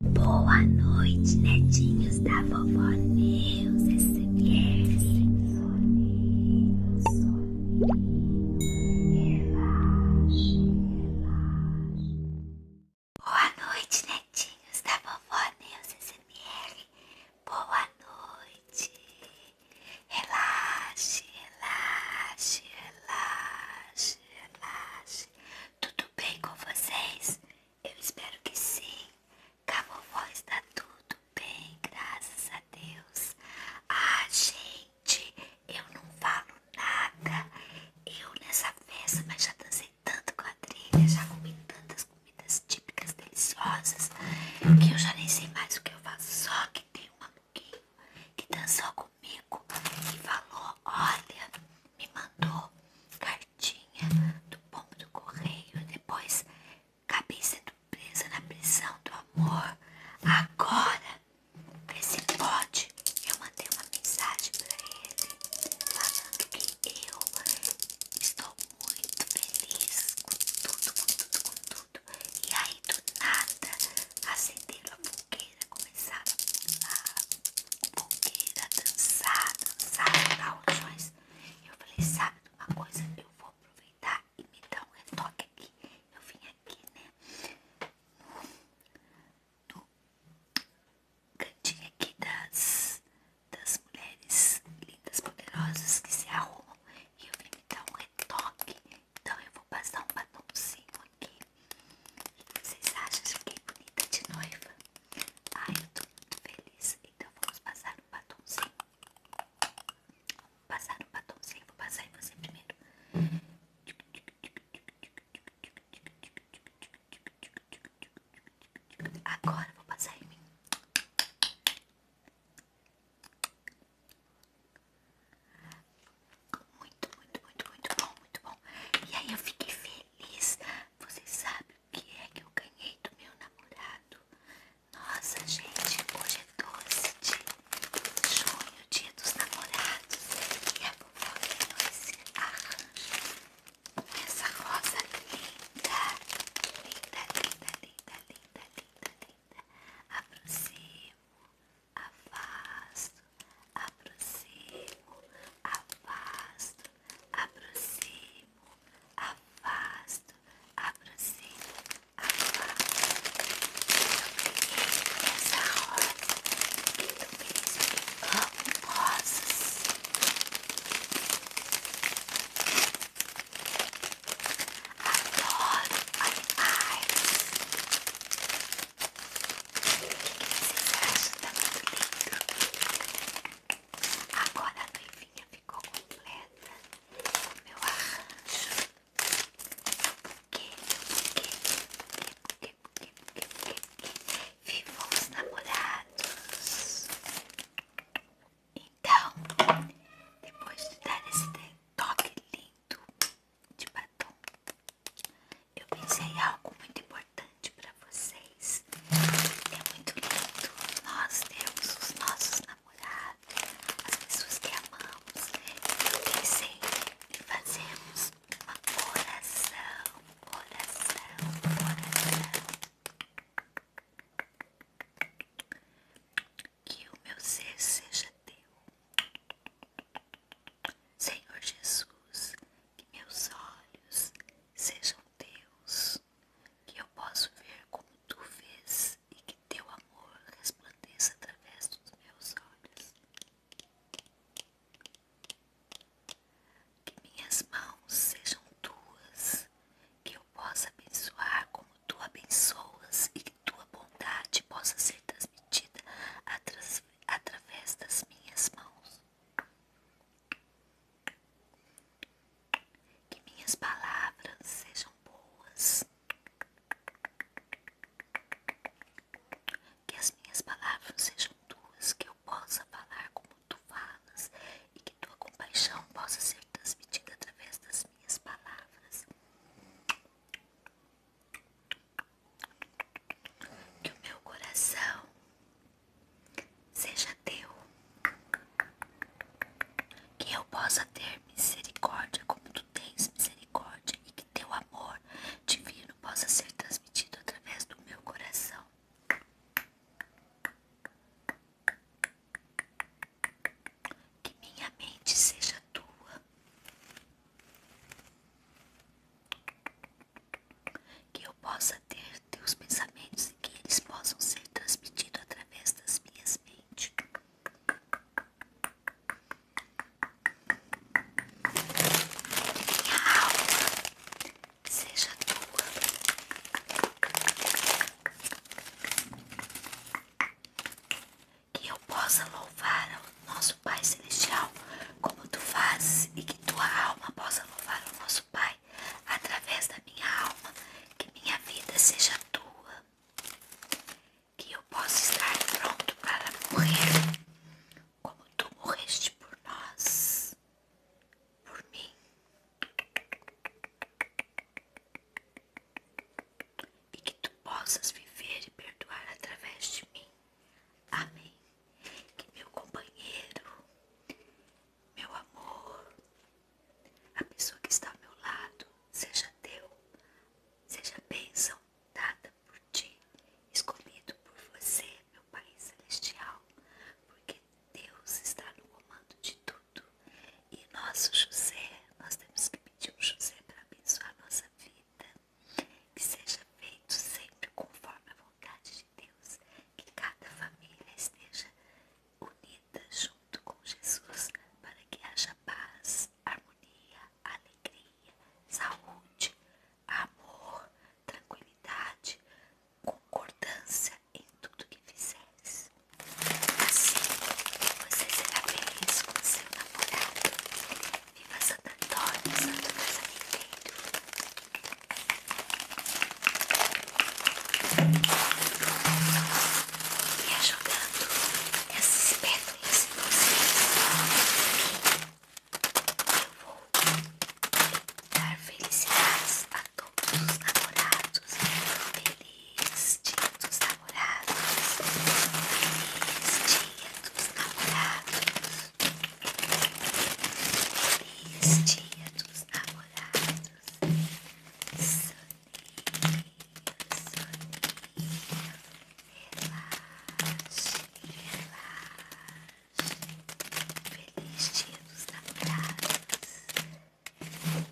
Boa noite, netinhos da vovó Neus SMR. Soninho, soninho, relaxe, Boa noite, netinhos da vovó Neus SMR. Boa noite. Relaxe, relaxe, relaxe, relaxe. Tudo bem com vocês? Eu espero que sim. Com a vovó está tudo bem, graças a Deus. Ah, gente, eu não falo nada. Eu nessa festa, mas já dancei tanto quadrilha, já comi tantas comidas típicas deliciosas que eu já nem sei mais o que eu faço. Só que tem uma que dançou com comigo e falou: Olha, me mandou cartinha do pombo do correio, depois cabeça do presa na prisão do amor. Agora, vê se pode. Eu mandei uma mensagem pra ele falando que eu estou muito feliz com tudo, com tudo, com tudo. E aí, do nada, acenderam a fogueira com começar a pular, boqueira, dançar, dançar, Eu falei, sabe uma coisa? Eu vou aproveitar e me dar um retoque aqui. Eu vim aqui, né? No, cantinho aqui das, das mulheres lindas, poderosas que se arrumam. E eu vim me dar um retoque então eu vou passar um batomzinho aqui. Vocês acham que é bonita de noiva? Ai, eu tô muito feliz. Então vamos passar um batomzinho. passar um batomzinho, vou passar em você primeiro. Agora vou passar em mim. Muito, muito, muito, muito bom, muito bom. E aí eu fiquei feliz. Você sabe o que é que eu ganhei do meu namorado? Nossa, gente, hoje é 12 de junho, dia dos namorados. E a vovó ganhou esse arranjo com essa rosa linda. Linda, linda, linda, linda, linda, linda. Aproximo afasto, aproximo, afasto, aproximo, afasto, aproximo, afasto. Eu peguei essa rosa do príncipe amo rosas. Adoro animais. O que vocês acham? Tá muito Agora a noivinha ficou completa. Meu arranjo. Que, que, que, que, que, que, que, namorados. Então, depois de dar esse toque lindo de batom, eu pensei em algo muito importante para vocês. É muito lindo nós temos os nossos namorados, as pessoas que amamos. Eu pensei em fazermos uma coração coração coração que o meu ser seja teu. Senhor Jesus, que meus olhos sejam teus, que eu possa ver como tu vês e que teu amor resplandeça através dos meus olhos. Que minhas mãos sejam tuas que eu possa abençoar como tu abençoas e que tua bondade possa ser transmitida através das minhas mãos. Que minhas palavras sejam boas. Que as minhas palavras sejam tuas, que eu possa falar como tu falas e que tua compaixão possa ser ser transmitida através das minhas palavras. Que o meu coração seja teu, que eu possa ter misericórdia como tu tens misericórdia e que teu amor divino possa ser transmitido através do meu coração. Que minha mente seja tua. Que eu possa ter teus pensamentos e que eles possam ser transmitidos através das minhas mentes. Que seja tua. Que eu possa louvar ao nosso Pai Celestial como tu fazes e que tua alma possa louvar o nosso Pai através da minha alma. Que minha vida seja tua. Que eu possa estar pronto para morrer como tu morreste por nós por mim. E que tu possas viver e perdoar através de mim. Amém. Que meu companheiro, meu amor, a pessoa que está ao meu lado, seja teu, seja bênção dada por ti, escolhido por você. É meu país Celestial, porque Deus está no comando de tudo. E nosso José, nós temos que pedir um José para abençoar nossa vida, que seja feito sempre conforme a vontade de Deus, que cada família esteja unida junto com Jesus, para que haja paz, harmonia, alegria, saúde, amor, tranquilidade, concordância em tudo que fizeres. Assim, você será feliz com seu namorado. Viva Santo Antônio, Santo Casamento. E ajudando essas pétalas em vocês. Eu vou dar felicidades a todos os namorados. Feliz dia dos namorados. Feliz dia dos namorados. Feliz dia dos namorados. Soninho, soninho. Relaxe, relaxe. Feliz dia dos namorados.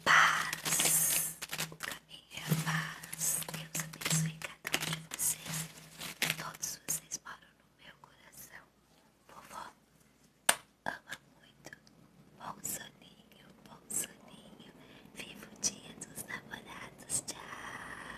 Paz. O caminho é a paz. Deus abençoe cada um de vocês. Todos vocês moram no meu coração. Vovó ama muito. Bom soninho, bom soninho. Viva o dia dos namorados. Tchau.